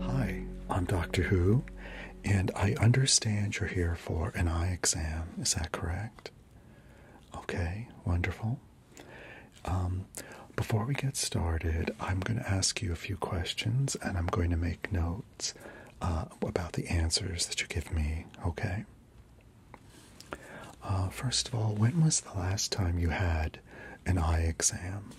Hi, I'm Doctor Who, and I understand you're here for an eye exam. Is that correct? Okay, wonderful. Um, before we get started, I'm going to ask you a few questions and I'm going to make note uh, about the answers that you give me, okay? Uh, first of all, when was the last time you had an eye exam?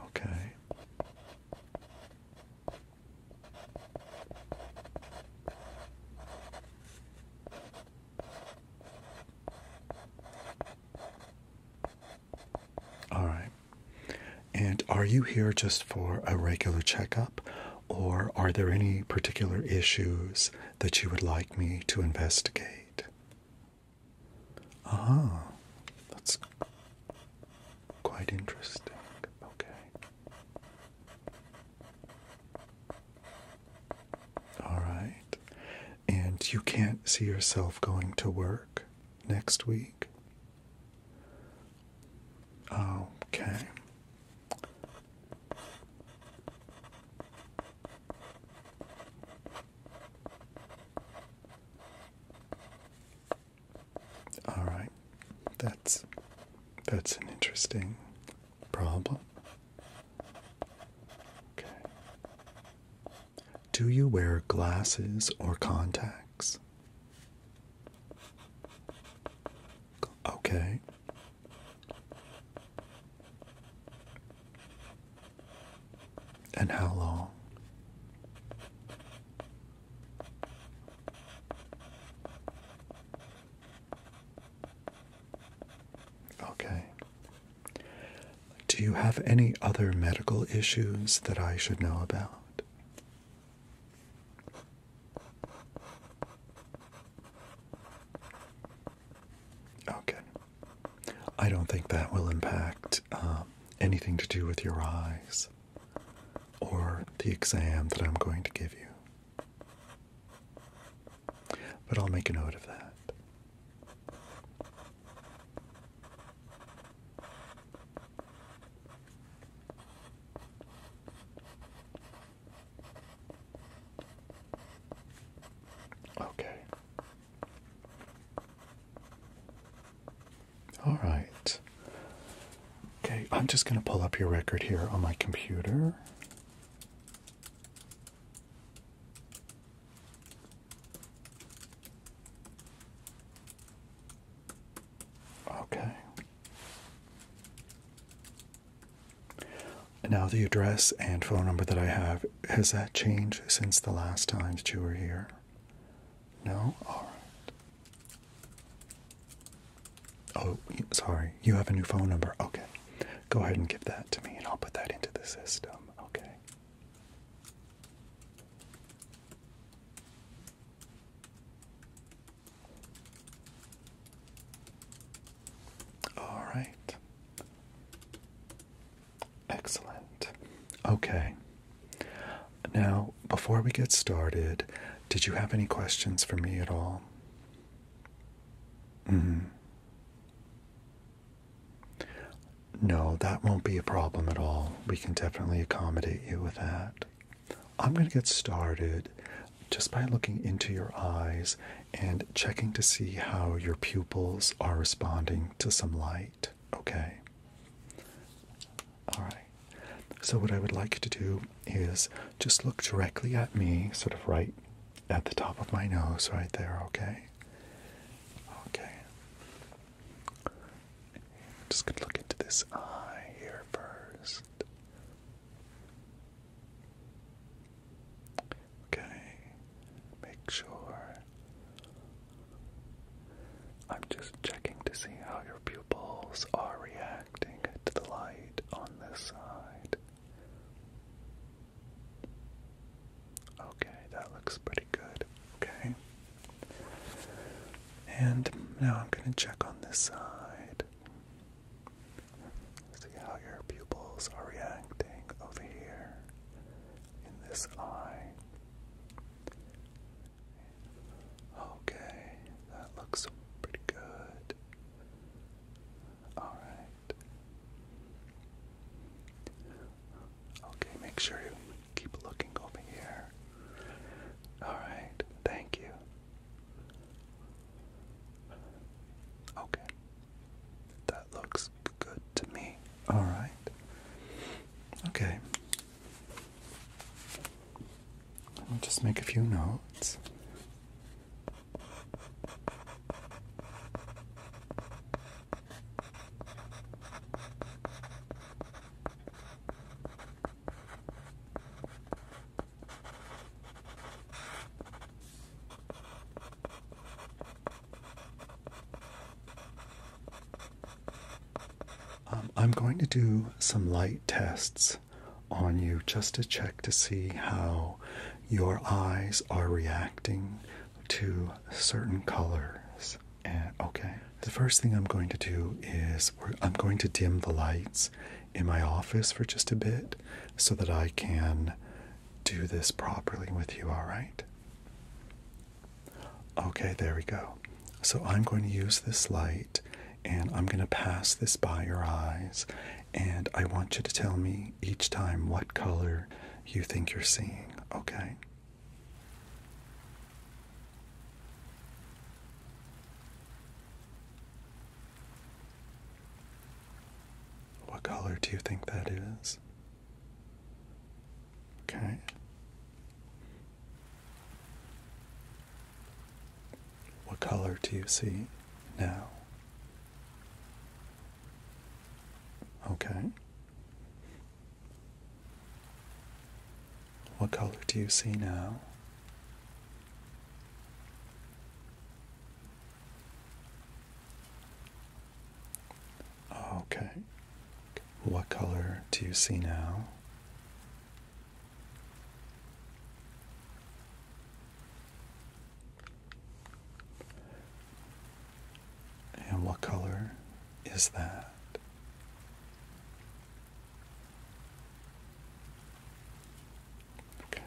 Okay. All right. And are you here just for a regular checkup, or are there any particular issues that you would like me to investigate? Ah, that's quite interesting. Okay. All right and you can't see yourself going to work next week. Okay. All right. That's that's an interesting problem. Okay. Do you wear glasses or contacts? Okay. And how long? Okay. Do you have any other medical issues that I should know about? Okay. I don't think that will impact um, anything to do with your eyes or the exam that I'm going to give you. But I'll make a note of that. Okay. All right. Okay, I'm just going to pull up your record here on my computer. Okay. Now, the address and phone number that I have, has that changed since the last time that you were here? No? All right. Oh, sorry. You have a new phone number. Okay. Go ahead and give that to me, and I'll put that into the system. Okay. All right. Excellent. Okay. Now, before we get started, did you have any questions for me at all? hmm no, that won't be a problem at all. We can definitely accommodate you with that. I'm going to get started just by looking into your eyes and checking to see how your pupils are responding to some light. Okay. All right. So, what I would like to do is just look directly at me, sort of right at the top of my nose, right there, okay? Okay. I'm just gonna look into this eye here first. Okay. Make sure. I'm just checking to see how your pupils are reacting to the light on this side. Okay, that looks pretty good. Okay. And now I'm going to check on this side. See how your pupils are reacting over here in this eye. Okay, that looks pretty good. Alright. Okay, make sure you keep looking over here. Alright, thank you. Okay. That looks good to me. Alright. Okay. Let me just make a few notes. Um, I'm going to do some light tests on you just to check to see how your eyes are reacting to certain colors. Uh, okay. The first thing I'm going to do is I'm going to dim the lights in my office for just a bit so that I can do this properly with you, all right? Okay, there we go. So I'm going to use this light and I'm going to pass this by your eyes and I want you to tell me each time what color you think you're seeing, okay? What color do you think that is? Okay. What color do you see now? Okay. What color do you see now? Okay. What color do you see now? And what color is that? Okay.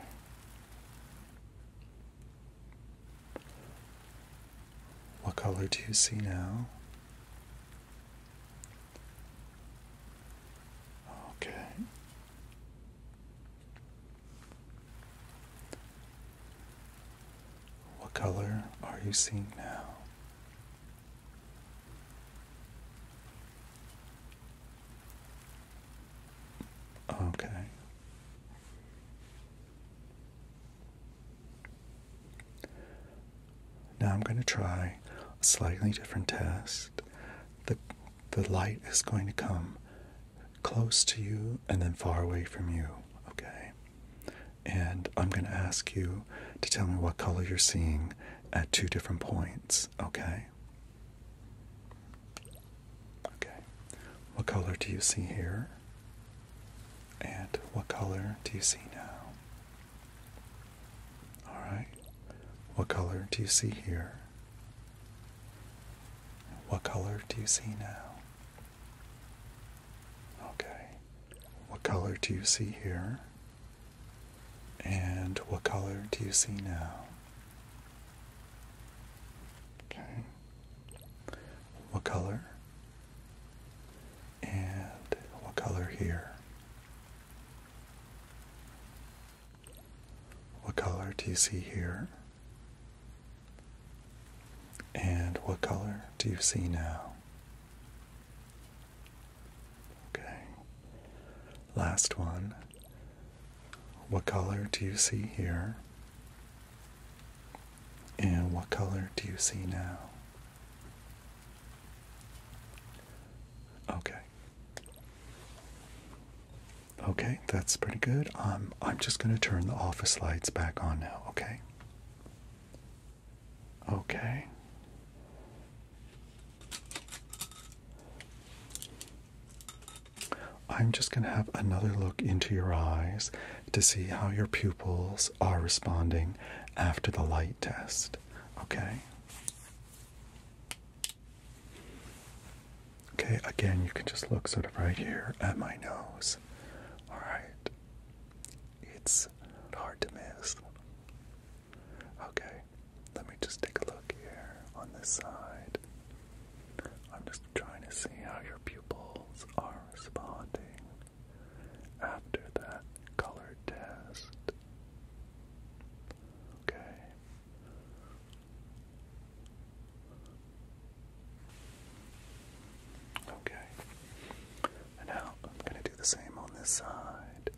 What color do you see now? Okay. What color are you seeing now? Okay. Now I'm going to try a slightly different test. The, the light is going to come close to you and then far away from you, okay? And I'm going to ask you to tell me what color you're seeing at two different points, okay? Okay. What color do you see here? And what color do you see now? Alright. What color do you see here? What color do you see now? Okay. What color do you see here? And what color do you see now? Okay. What color? And what color here? What color do you see here? And what color do you see now? Okay. Last one. What color do you see here? And what color do you see now? Okay. Okay, that's pretty good. Um, I'm just going to turn the office lights back on now, okay? Okay. I'm just going to have another look into your eyes to see how your pupils are responding after the light test. Okay. Okay, again, you can just look sort of right here at my nose. All right. It's hard to miss. Okay, let me just take a look here on this side. I'm just trying to see how your pupils are responding after that color test. Okay. Okay and out. I'm going to do the same on this side.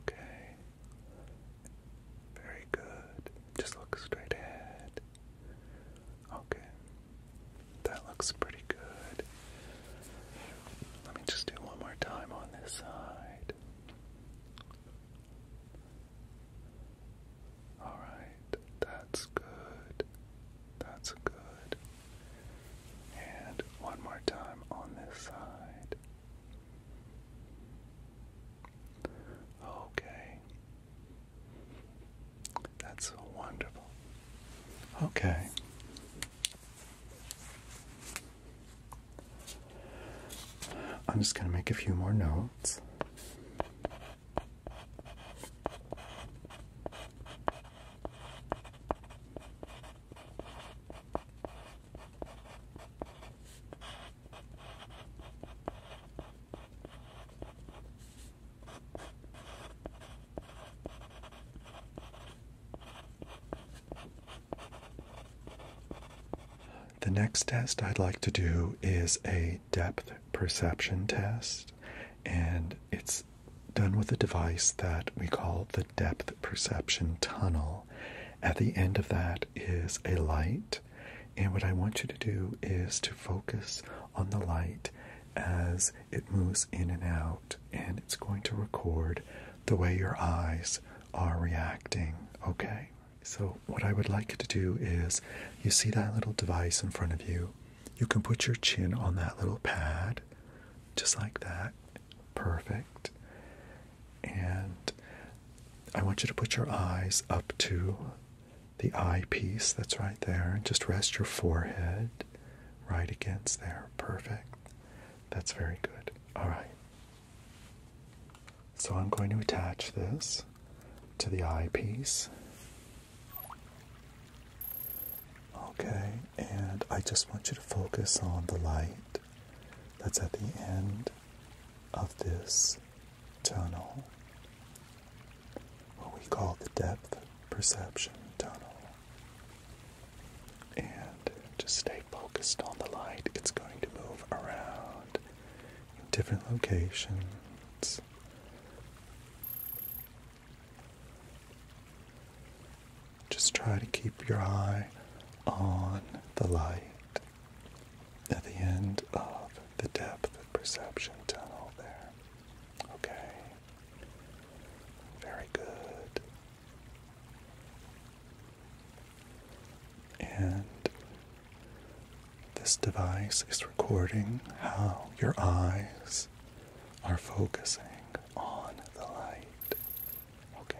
Okay. Very good. Just look straight ahead. Okay. That looks pretty good. Let me just do one more time on this side. All right, that's good. That's good. And one more time on this side. Okay. That's wonderful. Okay. I'm just going to make a few more notes. The next test I'd like to do is a depth perception test, and it's done with a device that we call the depth perception tunnel. At the end of that is a light, and what I want you to do is to focus on the light as it moves in and out, and it's going to record the way your eyes are reacting, okay? So, what I would like you to do is you see that little device in front of you. You can put your chin on that little pad, just like that. Perfect. And I want you to put your eyes up to the eyepiece that's right there and just rest your forehead right against there. Perfect. That's very good. All right. So I'm going to attach this to the eyepiece. Okay, and I just want you to focus on the light that's at the end of this tunnel, what we call the depth perception tunnel. And just stay focused on the light, it's going to move around different locations. Just try to keep your eye on the light at the end of the depth of perception tunnel there. Okay. Very good. And this device is recording how your eyes are focusing on the light. Okay.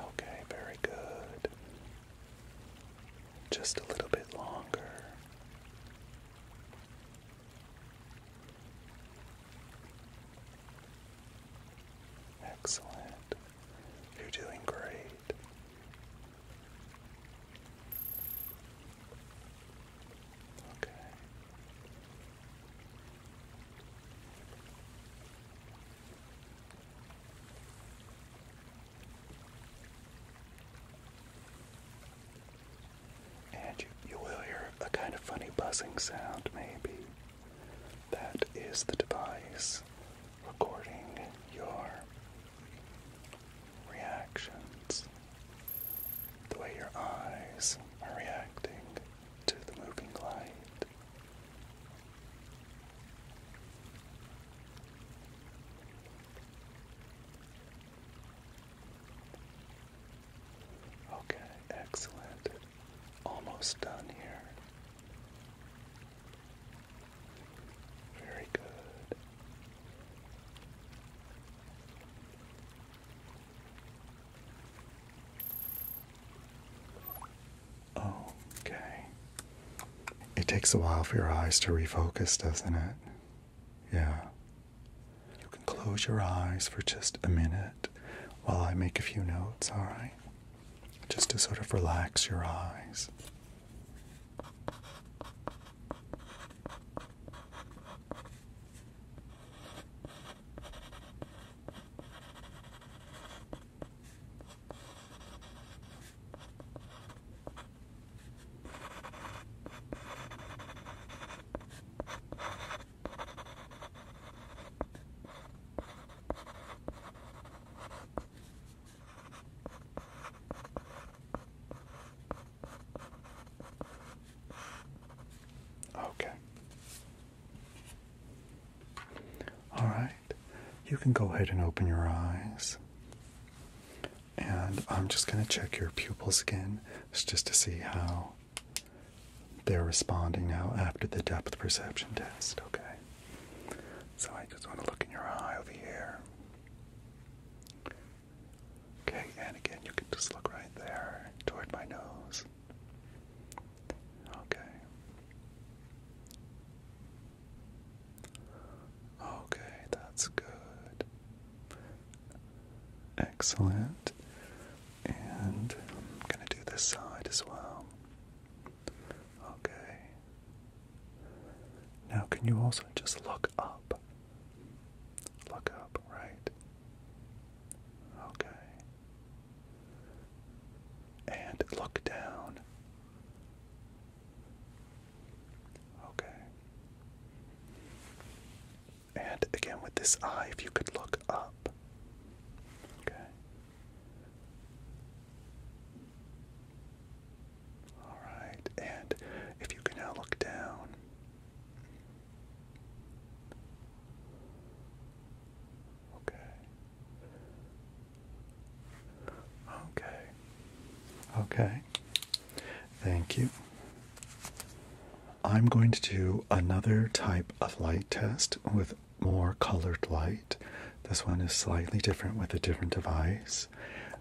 Okay, very good. Just a little bit longer. Excellent. You're doing great. Okay and you, will hear a kind of funny buzzing sound, maybe. That is the device recording your reactions, the way your eyes are reacting to the moving light. Okay, excellent almost done here. Very good. Okay. It takes a while for your eyes to refocus, doesn't it? Yeah. You can close your eyes for just a minute while I make a few notes, alright? Just to sort of relax your eyes. Okay. All right. You can go ahead and open your eyes. And I'm just going to check your pupils again just to see how they're responding now after the depth perception test, okay? So I just want to look in your eye over here. Okay, and again, you can just look right there toward my nose. Okay. Okay, that's good. Excellent. And I'm going to do this side as well. Okay. Now, can you also just look up? Look up, right? Okay. And look down. Okay. And again, with this eye, if you could look up. Okay. All right. And if you can now look down. Okay. Okay. Okay. Thank you. I'm going to do another type of light test with more colored light. This one is slightly different with a different device.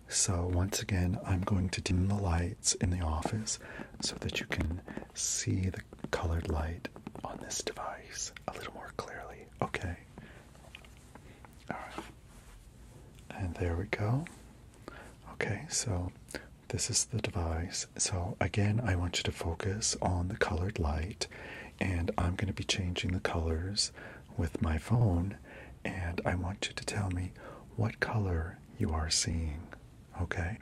So, once again, I'm going to dim the lights in the office so that you can see the colored light on this device a little more clearly. Okay. All right. And there we go. Okay, so this is the device. So again, I want you to focus on the colored light and I'm going to be changing the colors with my phone and I want you to tell me what color you are seeing. Okay?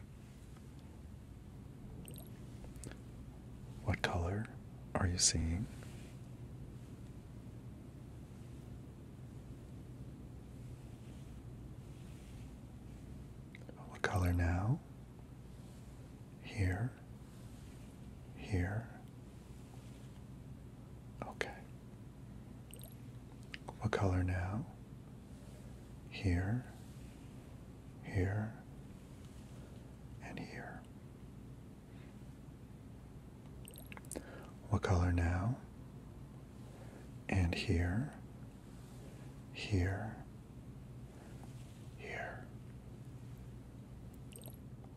What color are you seeing? What color now? here, here. Okay. What color now? Here, here, and here. What color now? And here, here, here.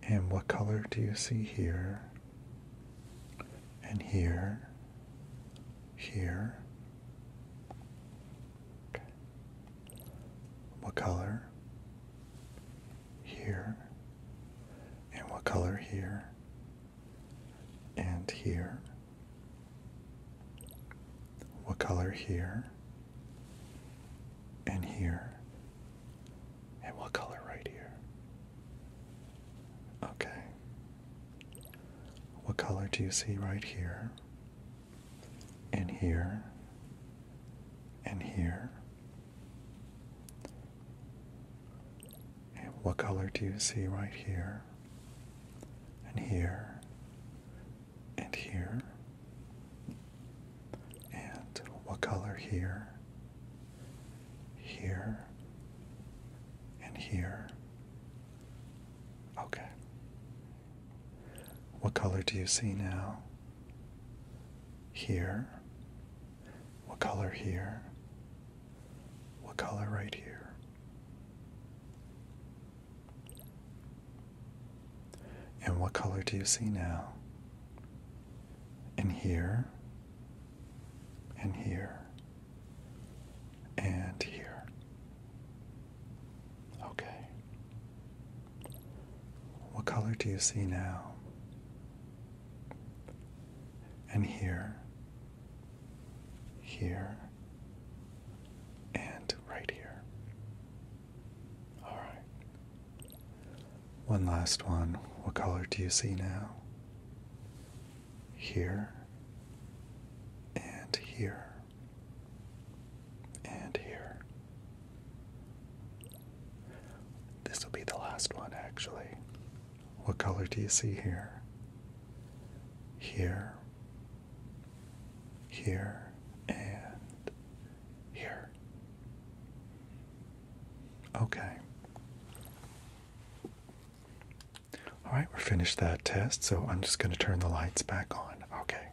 And what color do you see here? And here, here. What color? Here. And what color here? And here. What color here? And here? And what color right here? Okay. What color do you see right here? And here? And here? And what color do you see right here? And here? and here, and what color here, here, and here. Okay. What color do you see now? Here. What color here? What color right here? And what color do you see now? And here, and here, and here. Okay. What color do you see now? And here, here, and right here. All right. One last one. What color do you see now? Here and here and here. This will be the last one, actually. What color do you see here? Here here, and here. Okay. All right, we're finished that test, so I'm just going to turn the lights back on. Okay.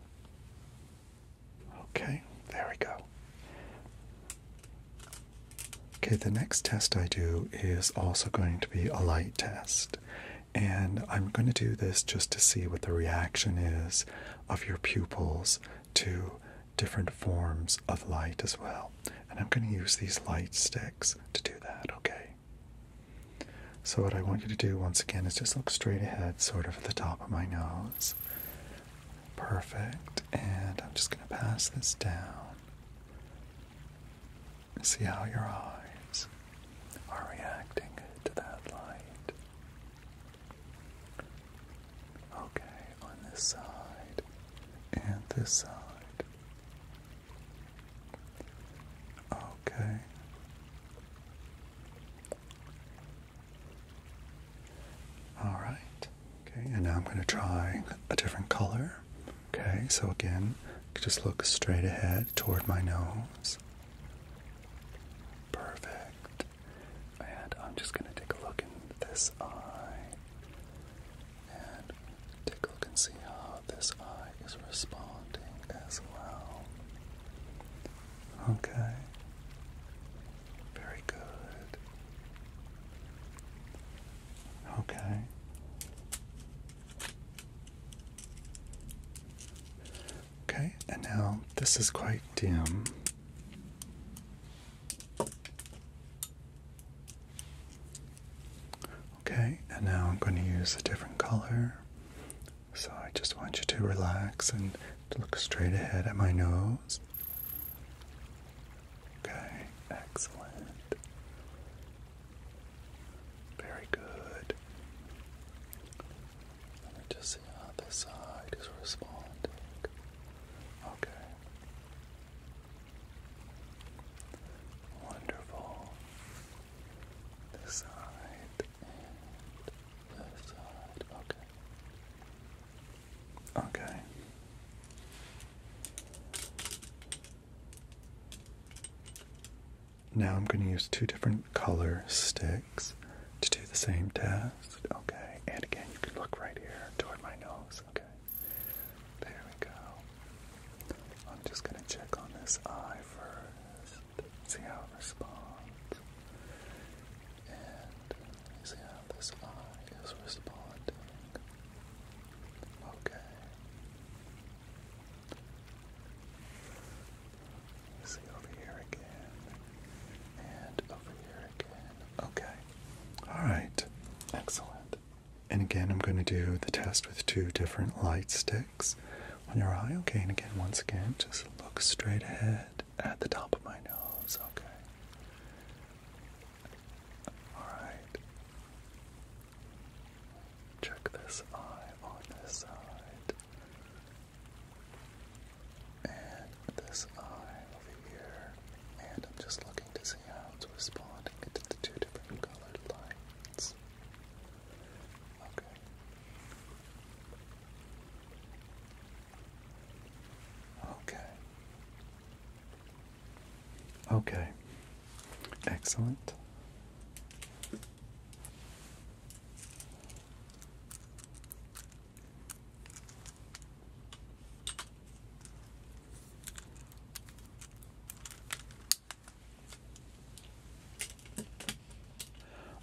Okay, there we go. Okay, the next test I do is also going to be a light test. And I'm going to do this just to see what the reaction is of your pupils to different forms of light as well. And I'm going to use these light sticks to do that, okay? So, what I want you to do once again is just look straight ahead, sort of at the top of my nose. Perfect. And I'm just going to pass this down. See how your eyes are reacting to that light. Okay, on this side and this side. Okay. All right. Okay, and now I'm going to try a different color. Okay, so again, just look straight ahead toward my nose. Perfect. And I'm just going to take a look in this eye and take a look and see how this eye is responding as well. Okay. Very good. Okay. Okay, and now this is quite dim. Okay, and now I'm going to use a different color. So I just want you to relax and look straight ahead at my nose. Okay, excellent. Very good. Let me just see how this side is responding. Okay. Wonderful. This side this side. Okay. Okay. Now I'm going to use two different color sticks to do the same test. Okay, and again, you can look right here toward my nose. Okay, there we go. I'm just going to check on this eye first, see how it responds, and see how this eye is responding. Okay, see over here again. And over here again. Okay. Alright. Excellent. And again, I'm going to do the test with two different light sticks on your eye. Okay, and again, once again, just look straight ahead at the top of my nose. Okay. Alright. Check this eye on this side and this eye over here, and I'm just looking to see how it's responding to the two different colored lines. Okay. Okay. Okay. Excellent.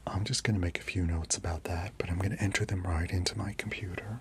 I'm just going to make a few notes about that, but I'm going to enter them right into my computer.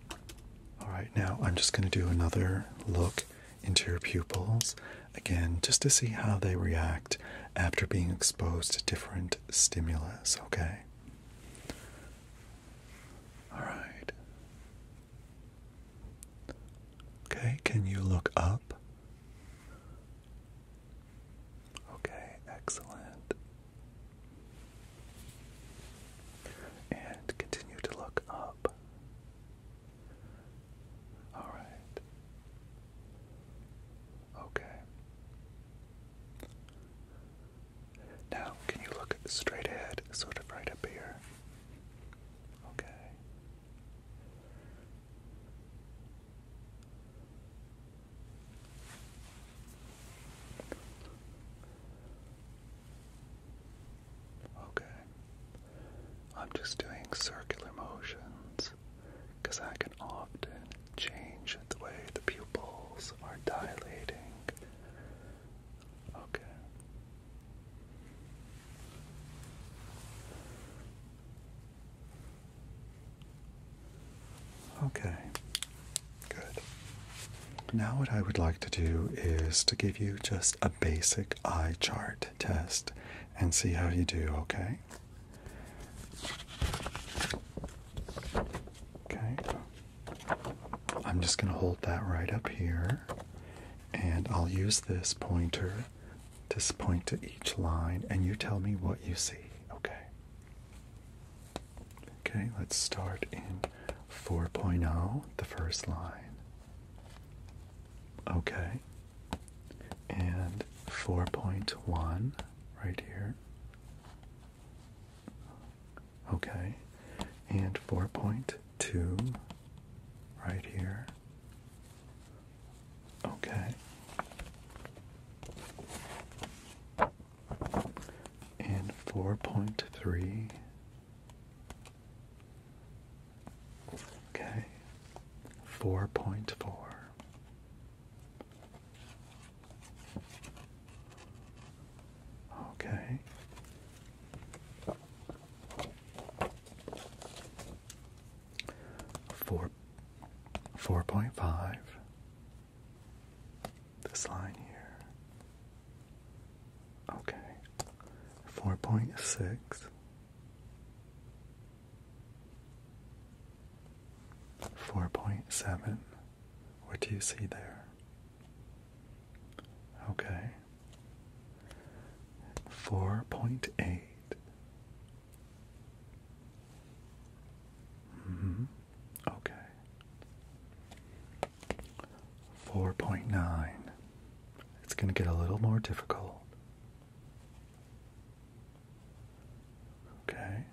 All right, now I'm just going to do another look into your pupils again just to see how they react after being exposed to different stimulus, okay? All right. Okay, can you look up? Okay, excellent. And continue to look up. All right. Okay. Now, can you look straight ahead, sort of right up here? Okay. Okay. I'm just doing circular motions because I can often change the way the pupils are dilating. Okay. Okay, Good. Now, what I would like to do is to give you just a basic eye chart test and see how you do, okay? Okay. I'm just going to hold that right up here, and I'll use this pointer to point to each line, and you tell me what you see, okay? Okay, let's start in 4.0, the first line. Okay, and 4.1 right here. Okay, and 4.2 right here. Okay. And 4.3 Okay. 4.4. Okay. Four four point five. This line here. Okay. 4.6. Four point seven. What do you see there? Okay. Four point eight. -hmm. Okay. 4.9. It's going to get a little more difficult. Okay.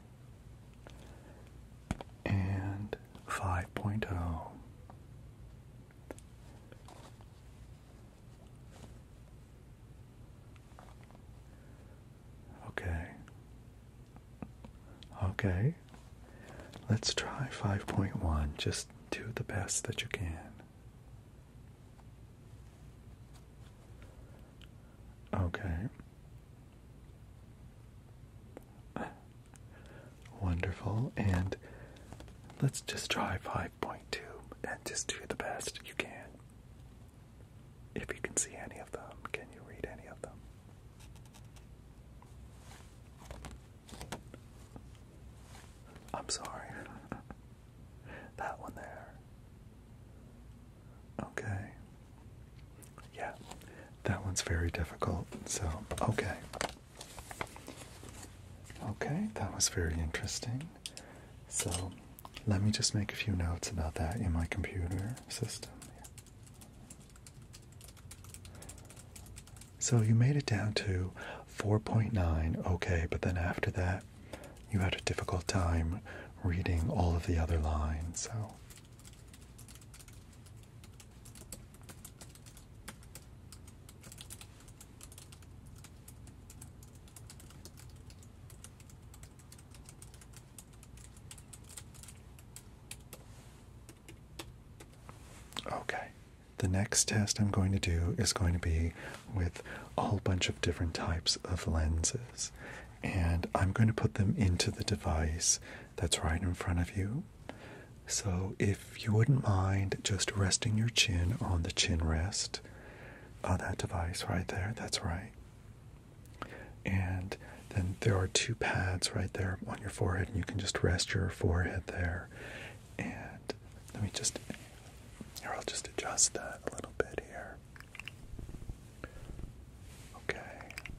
And 5.0. Okay. Okay, let's try 5.1. Just do the best that you can. Okay. Wonderful. And let's just try 5.2 and just do the best you can. If you can see any of them, can you read any of them? I'm sorry. that one there. Okay. Yeah, that one's very difficult. So, okay. Okay, that was very interesting. So, let me just make a few notes about that in my computer system. So you made it down to 4.9, okay, but then after that, you had a difficult time reading all of the other lines, so. Okay. The next test I'm going to do is going to be with a whole bunch of different types of lenses. And I'm going to put them into the device that's right in front of you. So, if you wouldn't mind just resting your chin on the chin rest of that device right there, that's right. And then there are two pads right there on your forehead, and you can just rest your forehead there. And let me just, or I'll just adjust that a little bit here. Okay.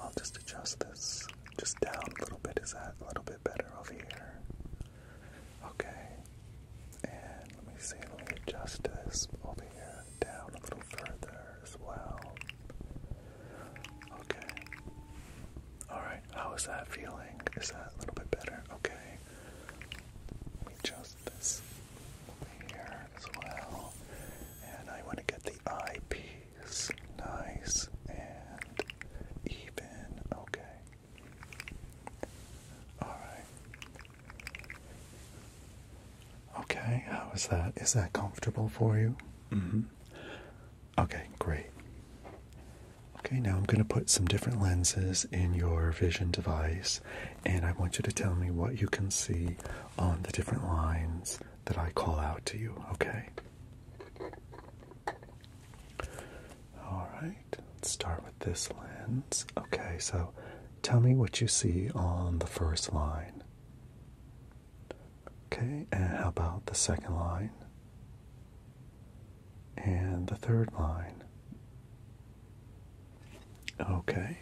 I'll just adjust this just down a little bit. Is that a little bit better over here? Okay. And let me see, let me adjust this over here down a little further as well. Okay. Alright, how is that feeling? Is that a little bit better? Okay. Let me this here as well. And I want to get the eye nice and even. Okay. Alright. Okay, how is that? Is that comfortable for you? Mm hmm. Okay, great. Okay, now I'm going to put some different lenses in your vision device, and I want you to tell me what you can see on the different lines that I call out to you, okay? Alright, let's start with this lens. Okay, so tell me what you see on the first line. Okay, and how about the second line? And the third line. Okay.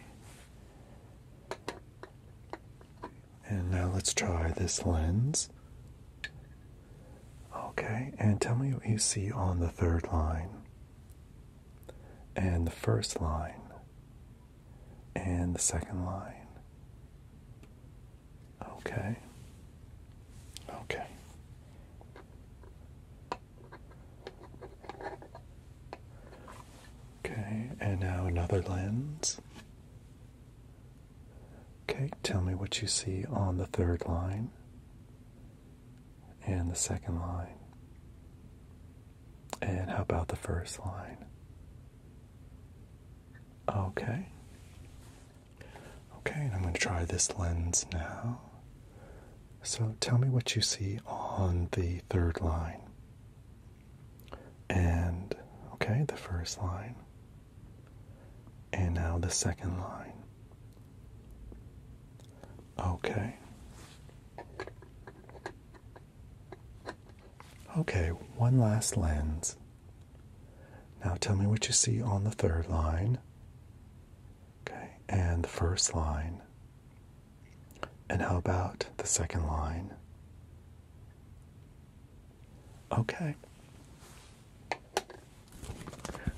And now let's try this lens. Okay, and tell me what you see on the third line and the first line and the second line. Okay. Okay. Okay, and now another lens. Okay, tell me what you see on the third line and the second line. And how about the first line? Okay. Okay, and I'm going to try this lens now. So tell me what you see on the third line. And, okay, the first line. And now the second line. Okay. Okay, one last lens. Now tell me what you see on the third line. Okay, and the first line. And how about the second line? Okay.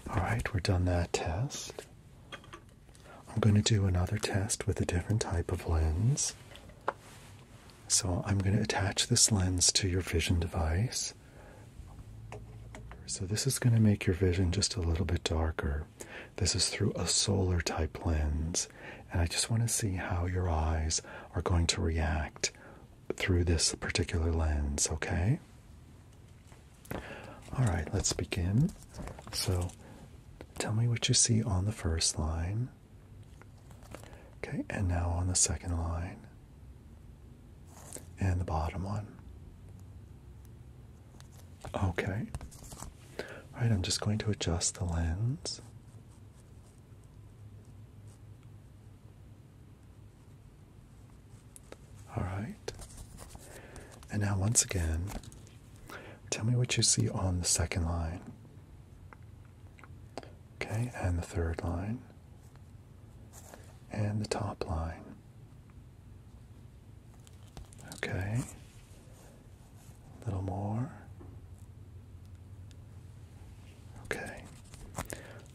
All right, we're done that test. I'm going to do another test with a different type of lens. So I'm going to attach this lens to your vision device. So this is going to make your vision just a little bit darker. This is through a solar type lens. And I just want to see how your eyes are going to react through this particular lens, okay? All right, let's begin. So tell me what you see on the first line. Okay, and now on the second line and the bottom one. Okay. All right, I'm just going to adjust the lens. All right. And now, once again, tell me what you see on the second line. Okay, and the third line, and the top line. Okay, a little more. Okay,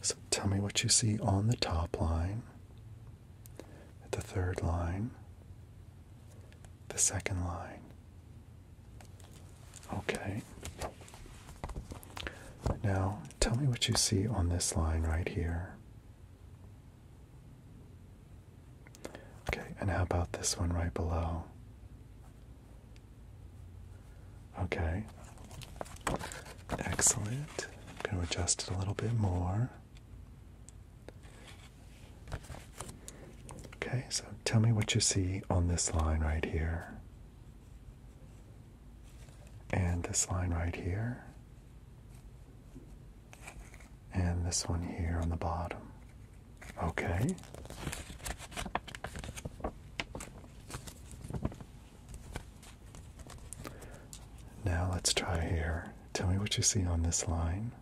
so tell me what you see on the top line, the third line, the second line, Okay. Now, tell me what you see on this line right here. Okay, and how about this one right below? Okay. Excellent. I'm going to adjust it a little bit more. Okay, so tell me what you see on this line right here and this line right here, and this one here on the bottom. Okay. Now let's try here. Tell me what you see on this line.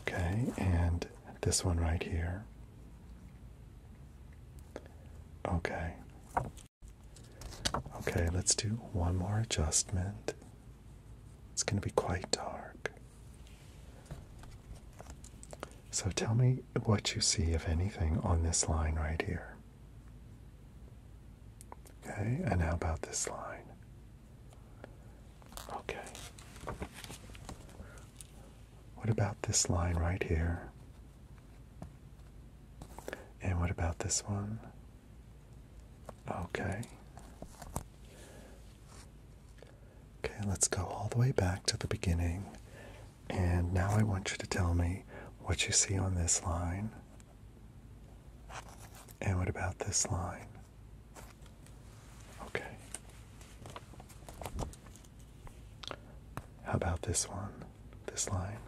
Okay, and this one right here. Okay. Okay, let's do one more adjustment. It's going to be quite dark. So tell me what you see, if anything, on this line right here. Okay, and how about this line? Okay. What about this line right here? And what about this one? Okay. Okay, let's go all the way back to the beginning. And now I want you to tell me what you see on this line. And what about this line? Okay. How about this one? This line?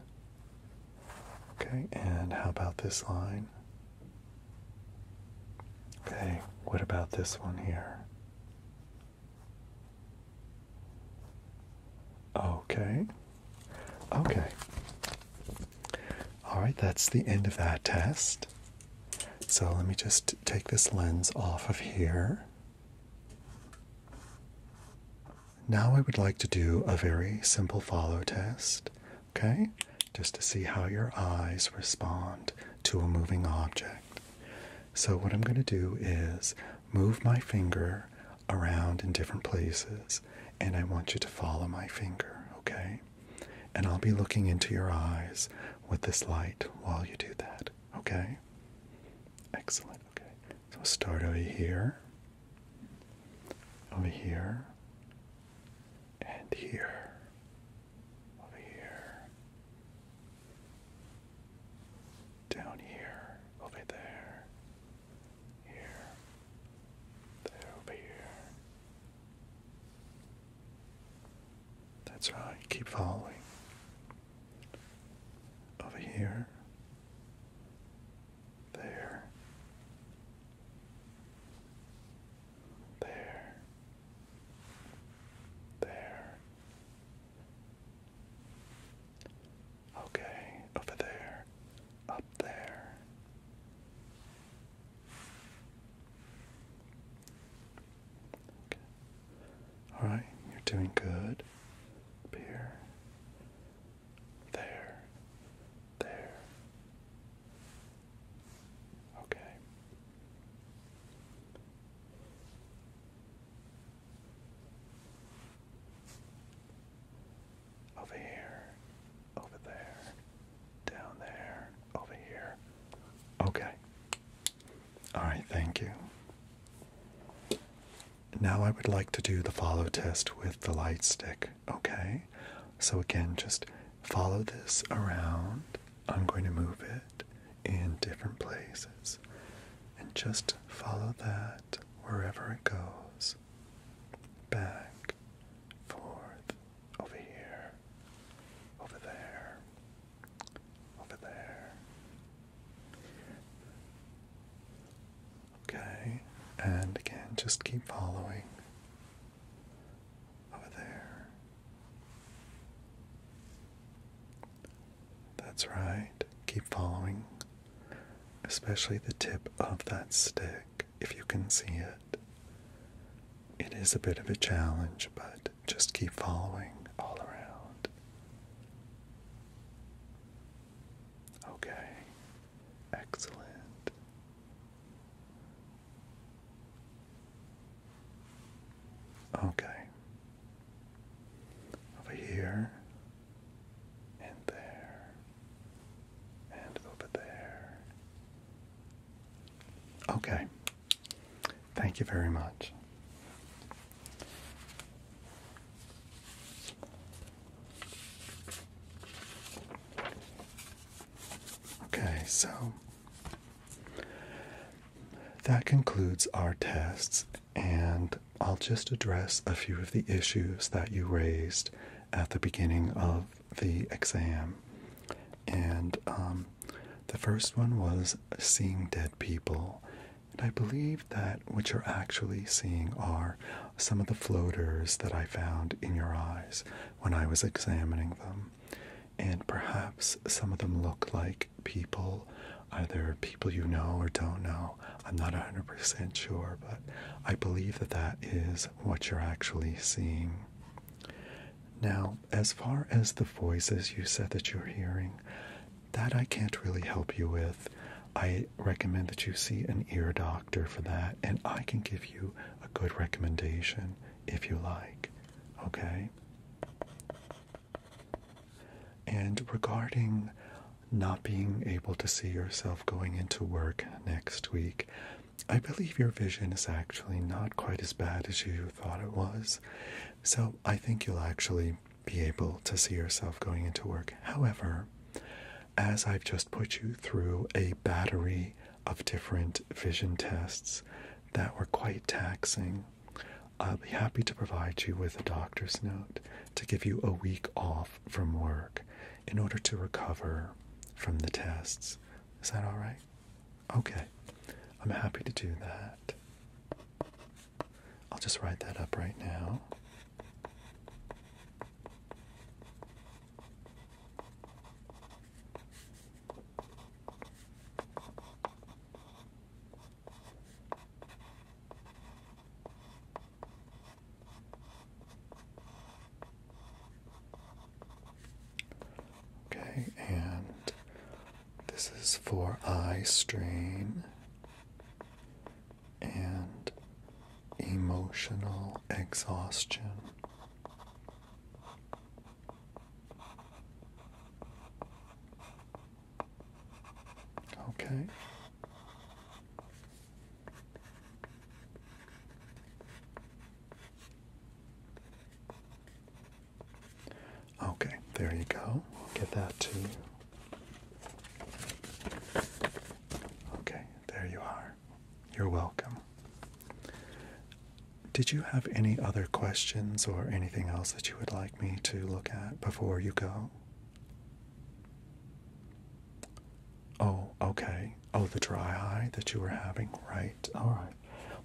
Okay, and how about this line? Okay, what about this one here? Okay. Okay. All right, that's the end of that test. So let me just take this lens off of here. Now I would like to do a very simple follow test, okay? Just to see how your eyes respond to a moving object. So what I'm going to do is move my finger around in different places and I want you to follow my finger, okay? And I'll be looking into your eyes with this light while you do that, Okay. Excellent. Okay. So we'll start over here, over here, and here, over here, down here, over there, here, there, over here. That's right. Keep following over here, there, there, there. Okay, over there, up there. Okay. All right, you're doing good. here, there, there. Okay. Over here, over there, down there, over here. Okay. All right, thank you. Now I would like to do the follow test with the light stick, okay? So again, just follow this around. I'm going to move it in different places and just follow that wherever it goes. Back, forth, over here, over there. Over there. Okay, and again, just keep following. Over there. That's right. Keep following, especially the tip of that stick, if you can see it. It is a bit of a challenge, but just keep following all around. Okay, excellent. Okay, over here, and there, and over there. Okay, Thank you very much. Okay, so that concludes our tests, and I'll just address a few of the issues that you raised at the beginning of the exam. And um, the first one was seeing dead people. And I believe that what you're actually seeing are some of the floaters that I found in your eyes when I was examining them. And perhaps some of them look like people, either people you know or don't know. I'm not 100% sure, but I believe that that is what you're actually seeing. Now, as far as the voices you said that you're hearing, that I can't really help you with. I recommend that you see an ear doctor for that, and I can give you a good recommendation if you like. Okay? And regarding not being able to see yourself going into work next week, I believe your vision is actually not quite as bad as you thought it was. So I think you'll actually be able to see yourself going into work. However, as I've just put you through a battery of different vision tests that were quite taxing, I'll be happy to provide you with a doctor's note to give you a week off from work in order to recover from the tests. Is that all right? Okay. I'm happy to do that. I'll just write that up right now. Okay, and this is for eye strain and emotional exhaustion. Okay. Okay, there you go. We'll get that to you. Okay, there you are. You're welcome. Did you have any other questions or anything else that you would like me to look at before you go? Oh, okay. Oh, the dry eye that you were having. Right. All right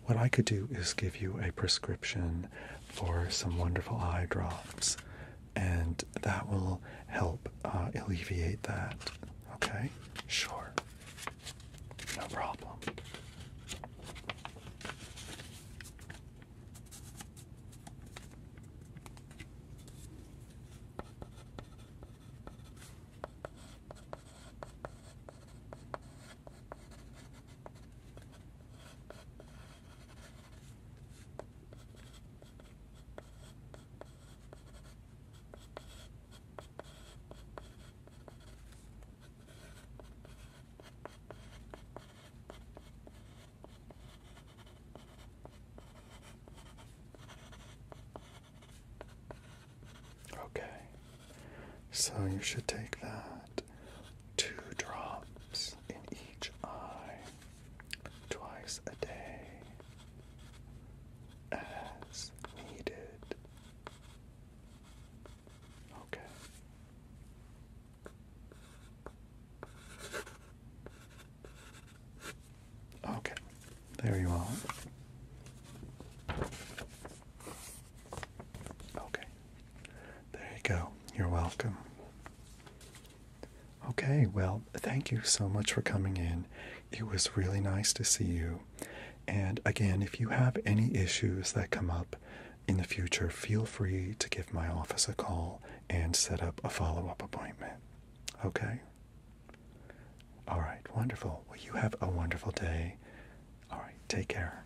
what I could do is give you a prescription for some wonderful eye drops, and that will help uh, alleviate that. Okay? Sure. No problem. Okay, so you should take that two drops in each eye twice a day as needed. Okay. Okay, there you are. Okay. There you go. You're welcome. Okay, well, thank you so much for coming in. It was really nice to see you. And again, if you have any issues that come up in the future, feel free to give my office a call and set up a follow up appointment. Okay? All right, wonderful. Well, you have a wonderful day. All right, take care.